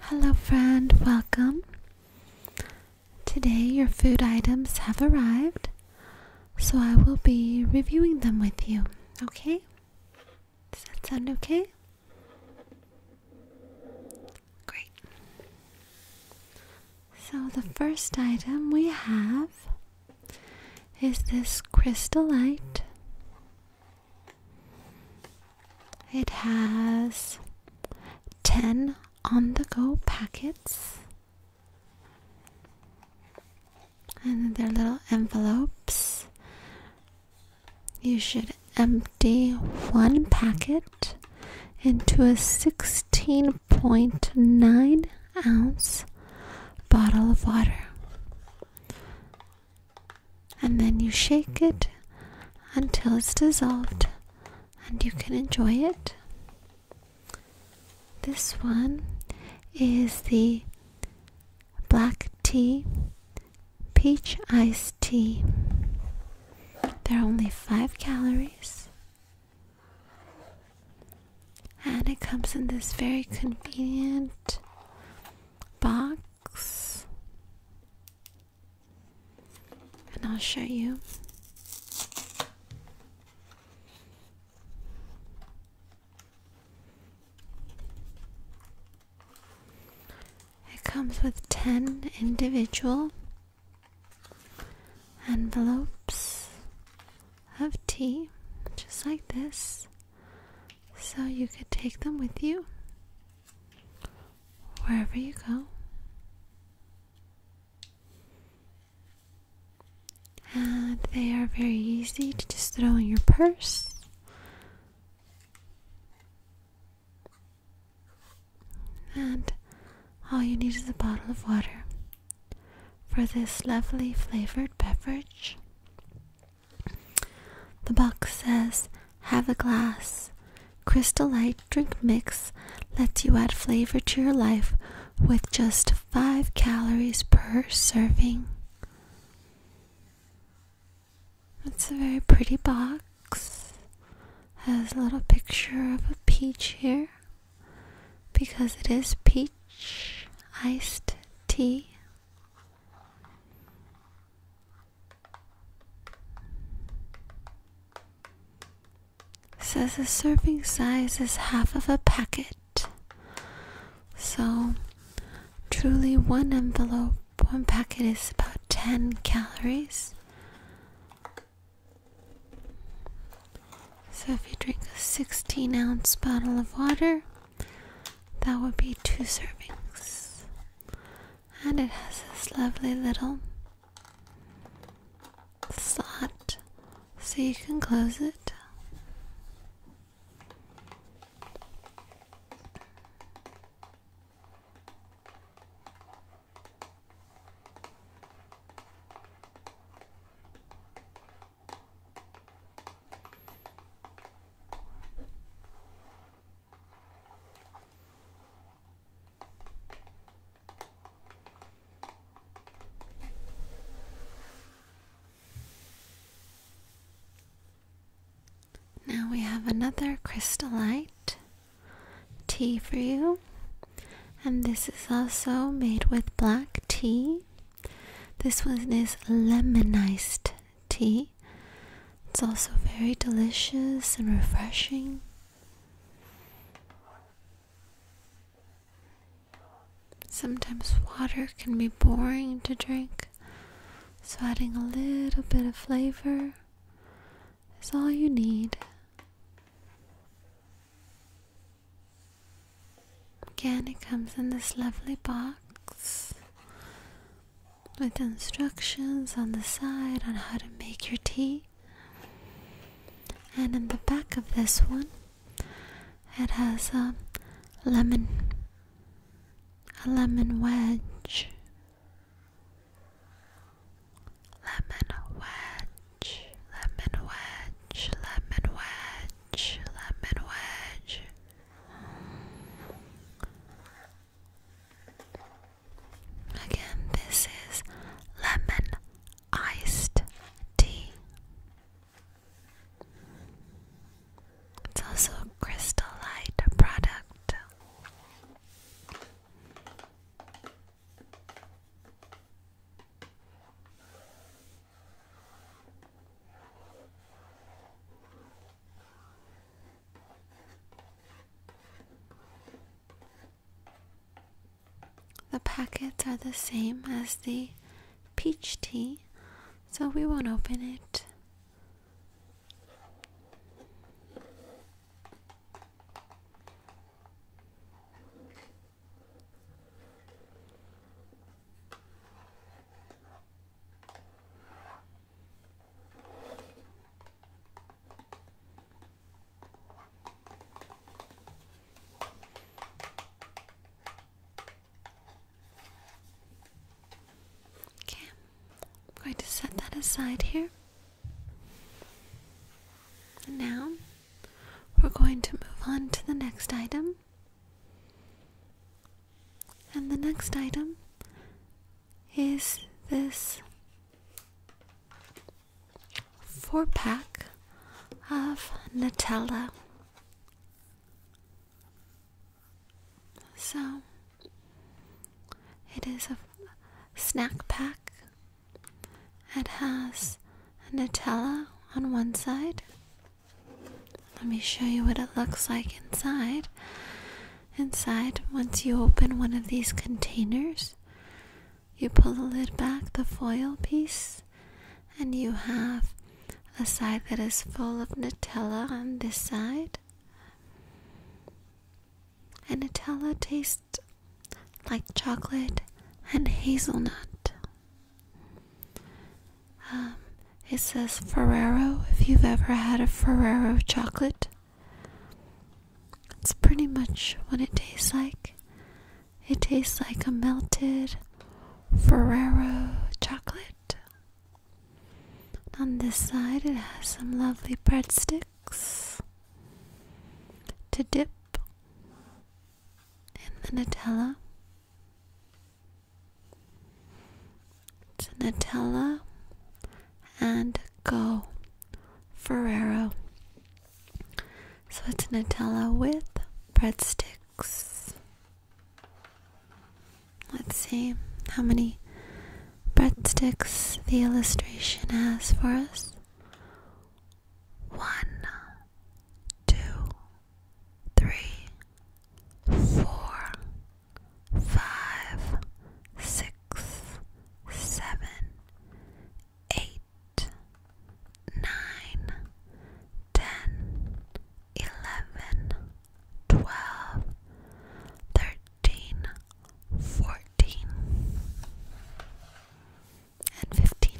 Hello, friend, welcome. Today, your food items have arrived, so I will be reviewing them with you, okay? Does that sound okay? Great. So, the first item we have is this crystalite. It has 10 on the go packets. And their little envelopes. You should empty one packet into a 16.9 ounce bottle of water and then you shake it until it's dissolved and you can enjoy it. This one is the black tea, peach iced tea. There are only 5 calories. And it comes in this very convenient box and I'll show you. It comes with 10 individual envelopes of tea, just like this, so you could take them with you wherever you go. And they are very easy to just throw in your purse. And all you need is a bottle of water for this lovely flavored beverage. The box says, Have a glass. Crystal Light Drink Mix lets you add flavor to your life with just 5 calories per serving. It's a very pretty box. Has a little picture of a peach here because it is peach iced tea. Says the serving size is half of a packet. So, truly, one envelope, one packet is about 10 calories. So, if you drink a 16 ounce bottle of water, that would be two servings and it has this lovely little slot so you can close it. Now we have another crystallite tea for you, and this is also made with black tea. This one is lemon iced tea. It's also very delicious and refreshing. Sometimes water can be boring to drink, so adding a little bit of flavor is all you need. Again, it comes in this lovely box with instructions on the side on how to make your tea. And in the back of this one, it has a lemon, a lemon wedge, lemon wedge, lemon wedge, lemon wedge, lemon wedge. Again, this is lemon iced tea. It's also a crystal light product. The packets are the same as the peach tea, so we won't open it. Okay, I'm going to set that aside here. And now we're going to move on to the next item. And the next item is this four pack of Nutella. So it is a snack pack. It has Nutella on one side. Let me show you what it looks like inside. Inside, once you open one of these containers, you pull the lid back, the foil piece, and you have a side that is full of Nutella on this side. And Nutella tastes like chocolate and hazelnut. Um, it says Ferrero. If you've ever had a Ferrero chocolate, it's pretty much what it tastes like. It tastes like a melted Ferrero chocolate. On this side, it has some lovely breadsticks to dip in the Nutella. It's Nutella and Go Ferrero. So it's Nutella with breadsticks. Let's see how many breadsticks the illustration has for us. One, two, three, four, five, six, seven, eight, nine, ten, eleven, twelve, thirteen, fourteen, and fifteen.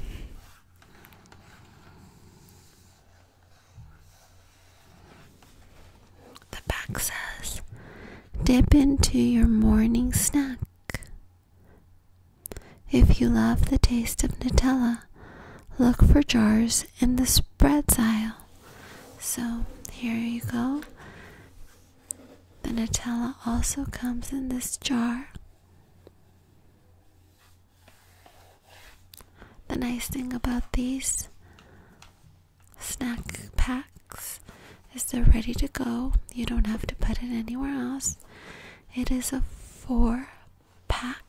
The back says, Dip into your morning snack. If you love the taste of Nutella, look for jars in the spreads aisle. So here you go. The Nutella also comes in this jar. The nice thing about these snack packs is they're ready to go. You don't have to put it anywhere else. It is a four pack.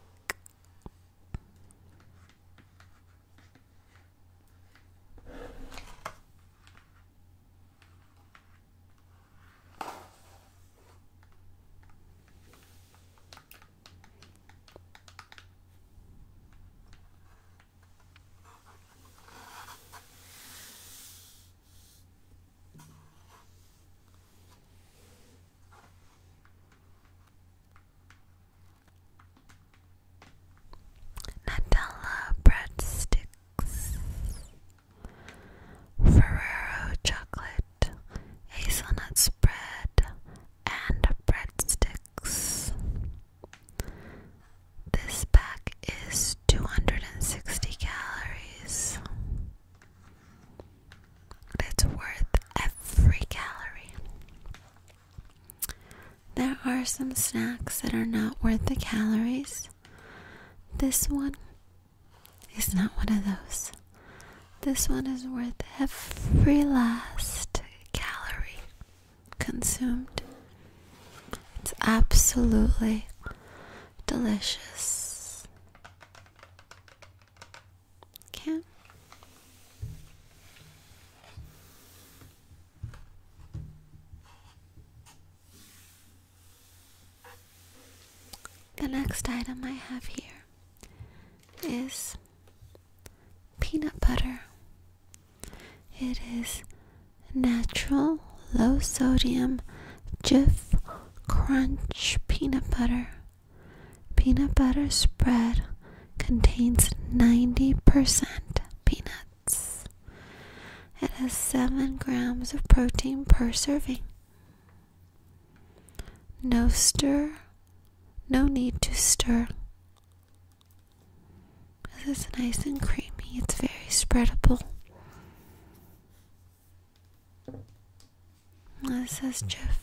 Nutella breadsticks, Ferrero chocolate, hazelnut spread, and breadsticks. This pack is 260 calories. It's worth every calorie. There are some snacks that are not worth the calories. This one is not one of those. This one is worth every last calorie consumed. It's absolutely delicious. Okay. The next item I have here is peanut butter. It is natural, low sodium, Jif Crunch peanut butter. Peanut butter spread contains 90% peanuts. It has 7 grams of protein per serving. No stir, no need to stir. This is nice and creamy, it's very spreadable. This is Jeff.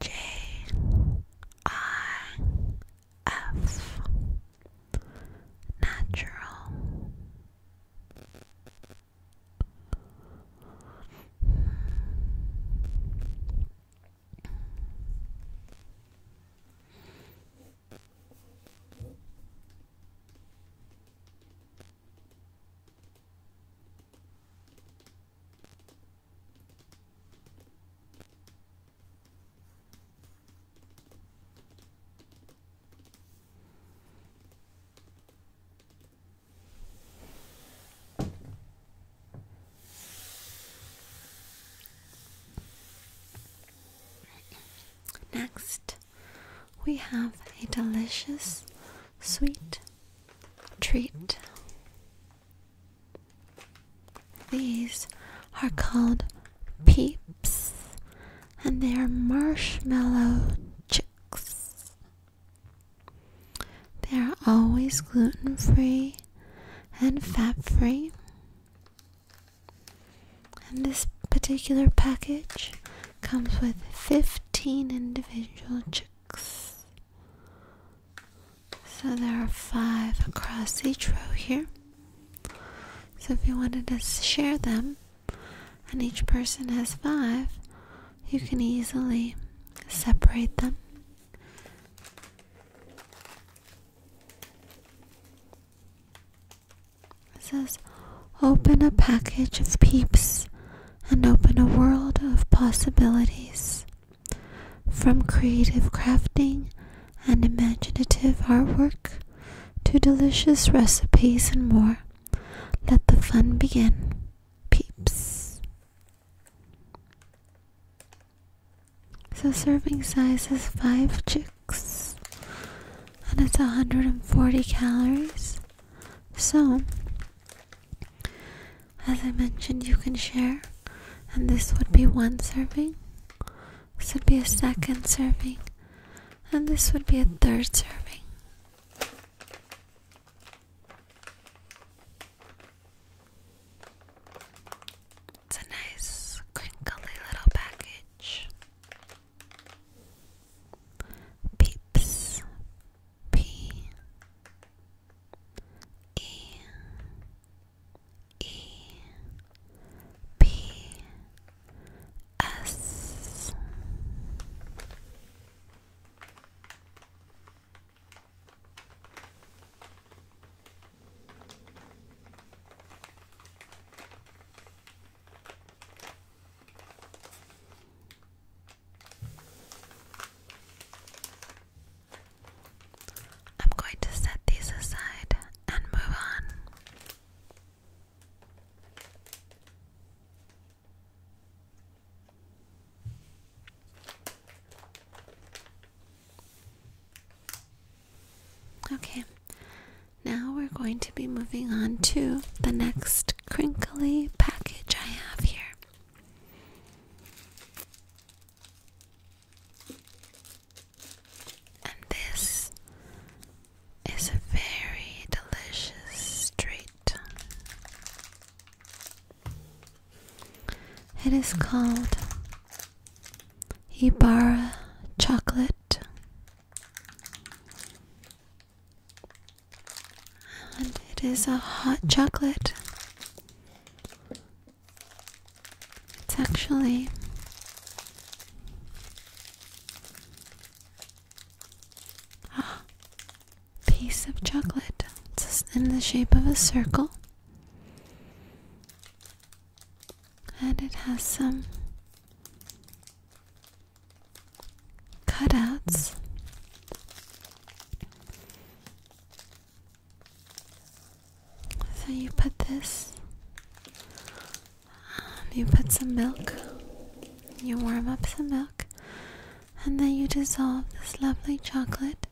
J I F Natural Next, we have a delicious sweet treat. These are called peeps, and they are marshmallow chicks. They are always gluten free and fat free. And this particular package comes with 15 individual chicks. So there are five across each row here. So if you wanted to share them, and each person has five, you can easily separate them. It says, Open a package of peeps and open a world of possibilities. From creative crafting and imaginative artwork to delicious recipes and more, let the fun begin, peeps. So, serving size is 5 chicks and it's 140 calories. So, as I mentioned, you can share, and this would be one serving. This would be a second serving, and this would be a third serving. It's a nice, crinkly little package. Peeps. P E E P S I'm going to set these aside and move on. Okay, now we're going to be moving on to the next crinkly package I have here. And this is a very delicious treat. It is called Ibarra chocolate. And it is a hot chocolate. It's actually a piece of chocolate. It's in the shape of a circle. And it has some cutouts. So you put this, um, you put some milk, you warm up some milk, and then you dissolve this lovely chocolate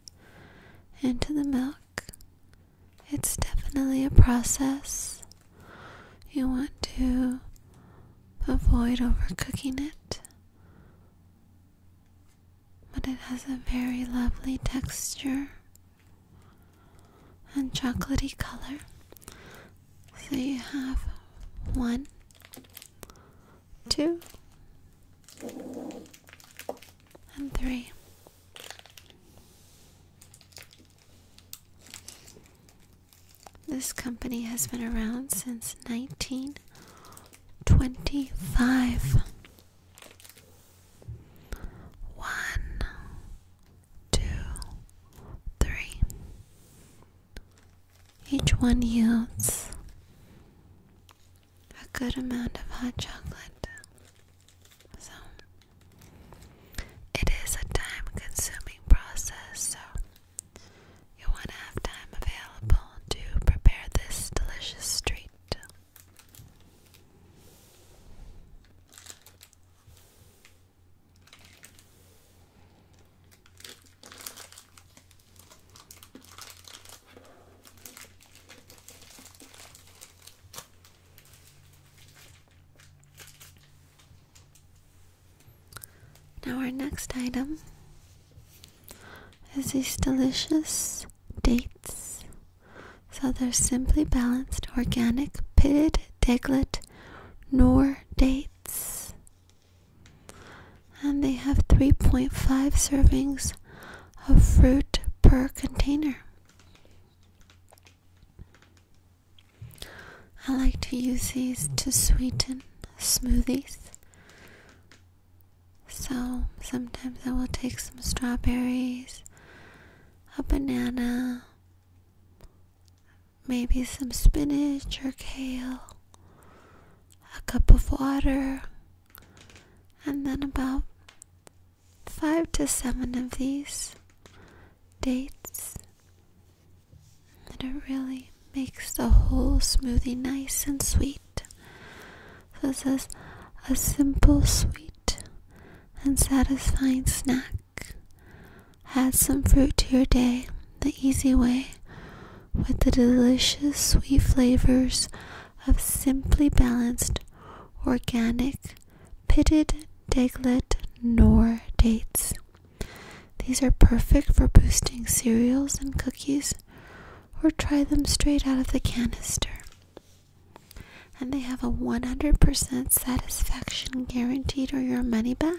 into the milk. It's definitely a process. You want to avoid overcooking it but it has a very lovely texture and chocolatey color. So you have one, two, and three. This company has been around since 1925. One, two, three. Each one yields a good amount of hot chocolate. So, it is a time consuming process, so you want to have time available to prepare this delicious treat. Now, our next item is these delicious dates. So, they're simply balanced, organic, pitted, deglet, nor dates. And they have 3.5 servings of fruit per container. I like to use these to sweeten smoothies. So sometimes I will take some strawberries, a banana, maybe some spinach or kale, a cup of water, and then about five to seven of these dates and it really makes the whole smoothie nice and sweet. So it a simple, sweet, and satisfying snack. Add some fruit to your day the easy way with the delicious sweet flavors of simply balanced organic pitted deglet nor dates these are perfect for boosting cereals and cookies, or try them straight out of the canister. And they have a 100% satisfaction guaranteed or your money back.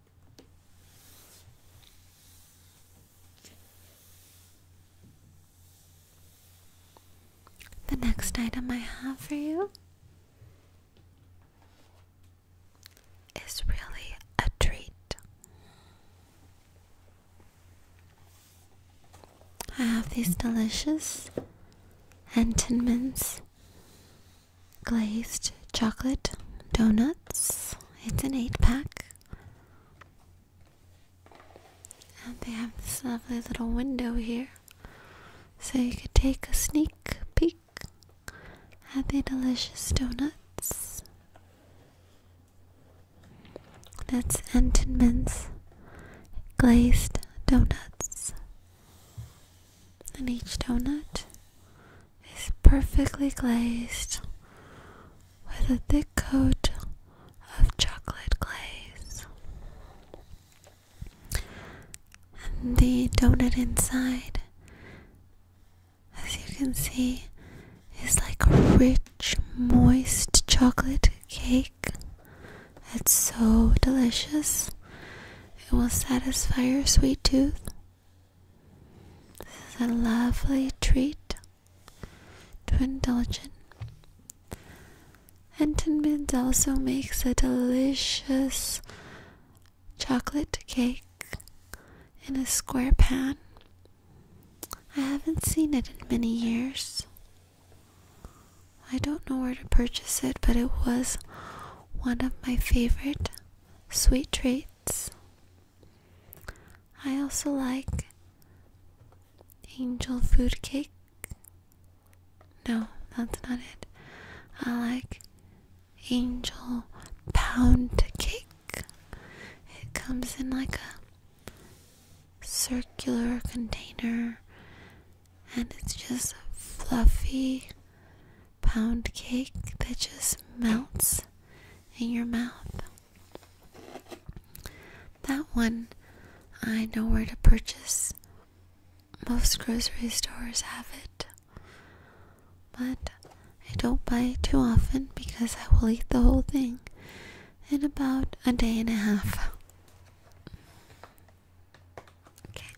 The next item I have for you is really a treat. I have these delicious Entenmann's glazed chocolate donuts. It's an eight pack. And they have this lovely little window here. So you could take a sneak peek at the delicious donuts. That's Antonman's glazed donuts. And each donut is perfectly glazed with a thick coat of chocolate glaze. And the donut inside, as you can see, is like a rich, moist chocolate cake. It's so delicious. It will satisfy your sweet tooth this is a lovely treat to indulge in. And Tin also makes a delicious chocolate cake in a square pan. I haven't seen it in many years. I don't know where to purchase it, but it was one of my favorite sweet treats. I also like angel food cake. No, that's not it. I like angel pound cake. It comes in like a circular container and it's just fluffy pound cake that just melts in your mouth. That one I know where to purchase. Most grocery stores have it. But I don't buy it too often because I will eat the whole thing in about a day and a half. Okay.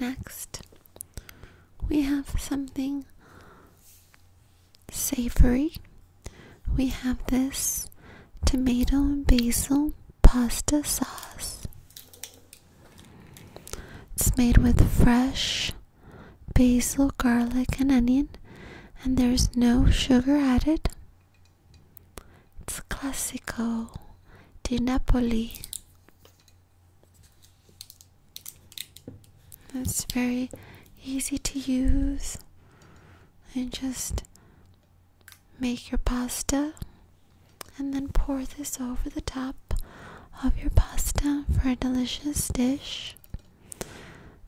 Next, we have something savory. We have this tomato and basil pasta sauce. It's made with fresh basil, garlic, and onion and there's no sugar added. It's classical, di Napoli. It's very easy to use. And just make your pasta and then pour this over the top of your pasta for a delicious dish.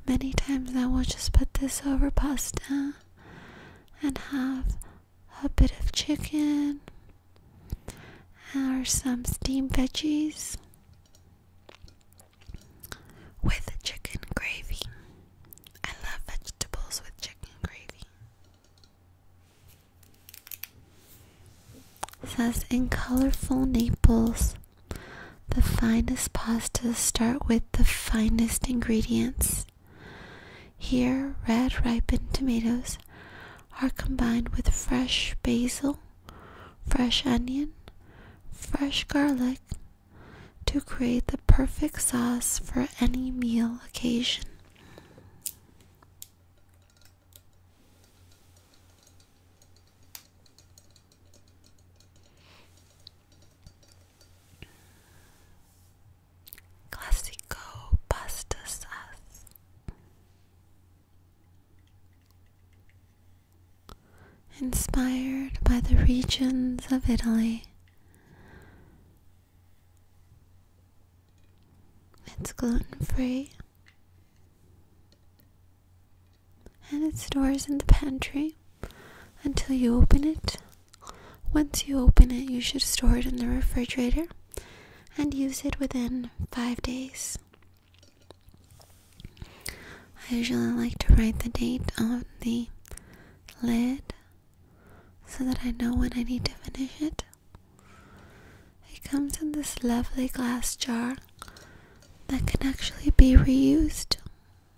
Many times I will just put this over pasta and have a bit of chicken or some steamed veggies with chicken gravy. I love vegetables with chicken gravy. It says in colorful Naples, the finest pastas start with the finest ingredients. Here, red ripened tomatoes are combined with fresh basil, fresh onion, fresh garlic to create the perfect sauce for any meal occasion. Classico pasta Inspired by the regions of Italy, it's gluten free and it stores in the pantry until you open it. Once you open it, you should store it in the refrigerator and use it within five days. I usually like to write the date on the lid so that I know when I need to finish it. It comes in this lovely glass jar that can actually be reused.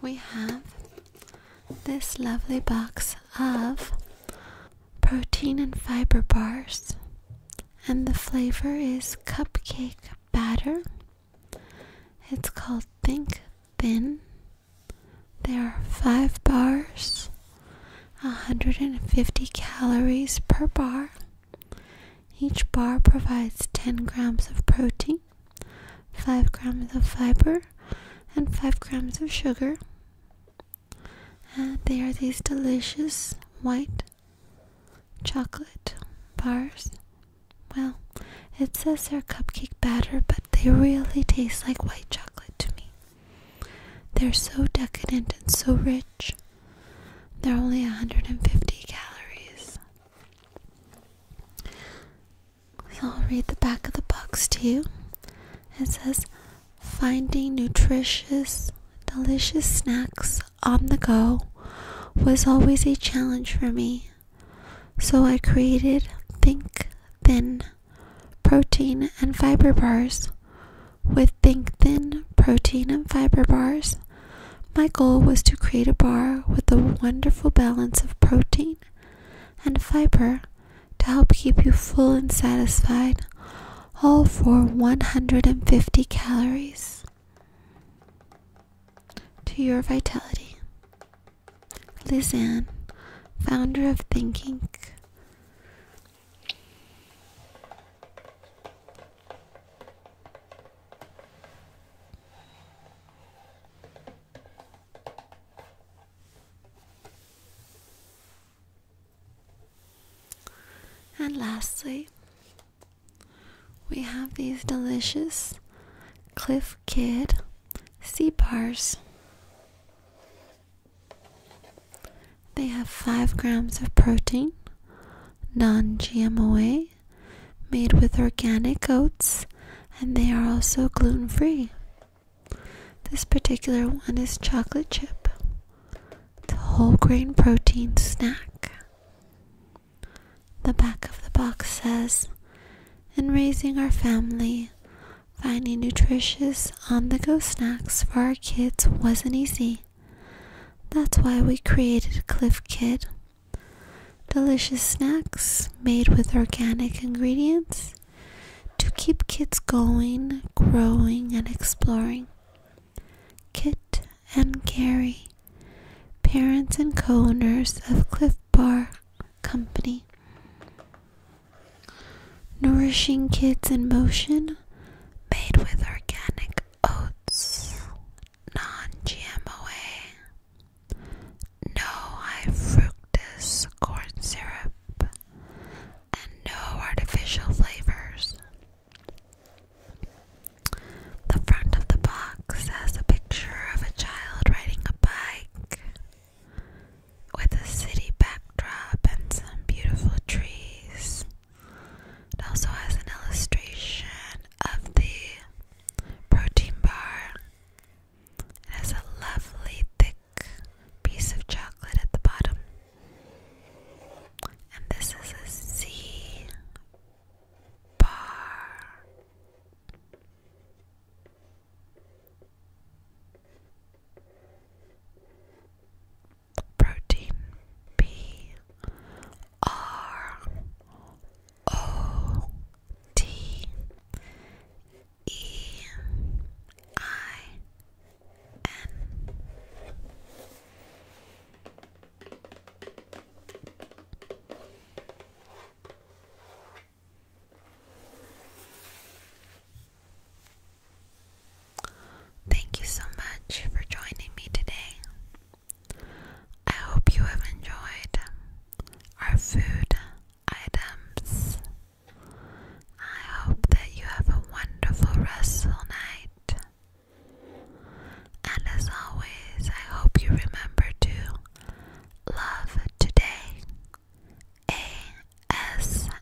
we have this lovely box of protein and fiber bars, and the flavor is cupcake batter. It's called Think Thin. There are five bars, 150 calories per bar. Each bar provides 10 grams of protein 5 grams of fiber, and 5 grams of sugar. And they are these delicious white chocolate bars. Well, it says they're cupcake batter, but they really taste like white chocolate to me. They're so decadent and so rich. They're only 150 calories. We'll read the back of the box to you. It says, Finding nutritious, delicious snacks on the go was always a challenge for me. So I created Think Thin protein and fiber bars. With Think Thin protein and fiber bars, my goal was to create a bar with a wonderful balance of protein and fiber to help keep you full and satisfied, all for 150 calories to your vitality. Lizanne, founder of Thinking. And lastly, we have these delicious Cliff Kid sea bars. They have 5 grams of protein, non gmo made with organic oats, and they are also gluten free. This particular one is chocolate chip, the whole grain protein snack. The back of the box says, In raising our family, finding nutritious on the go snacks for our kids wasn't easy. That's why we created Cliff Kid. Delicious snacks made with organic ingredients to keep kids going, growing, and exploring. Kit and Gary, parents and co owners of Cliff Bar Company. Nourishing Kids in Motion, made with organic oats non-GMOA, no high fructose corn syrup, and no artificial flavors. The front of the box has a picture of a child riding a bike with a city backdrop and some beautiful trees. It also has an illustration of the protein bar. It has a lovely thick piece of chocolate at the bottom. And this is a C bar. Protein B R O T E I N. Thank you so much for joining me today. I hope you have enjoyed our food items. I hope that you have a wonderful, restful night. And as always, I hope you remember to love today. ASMR.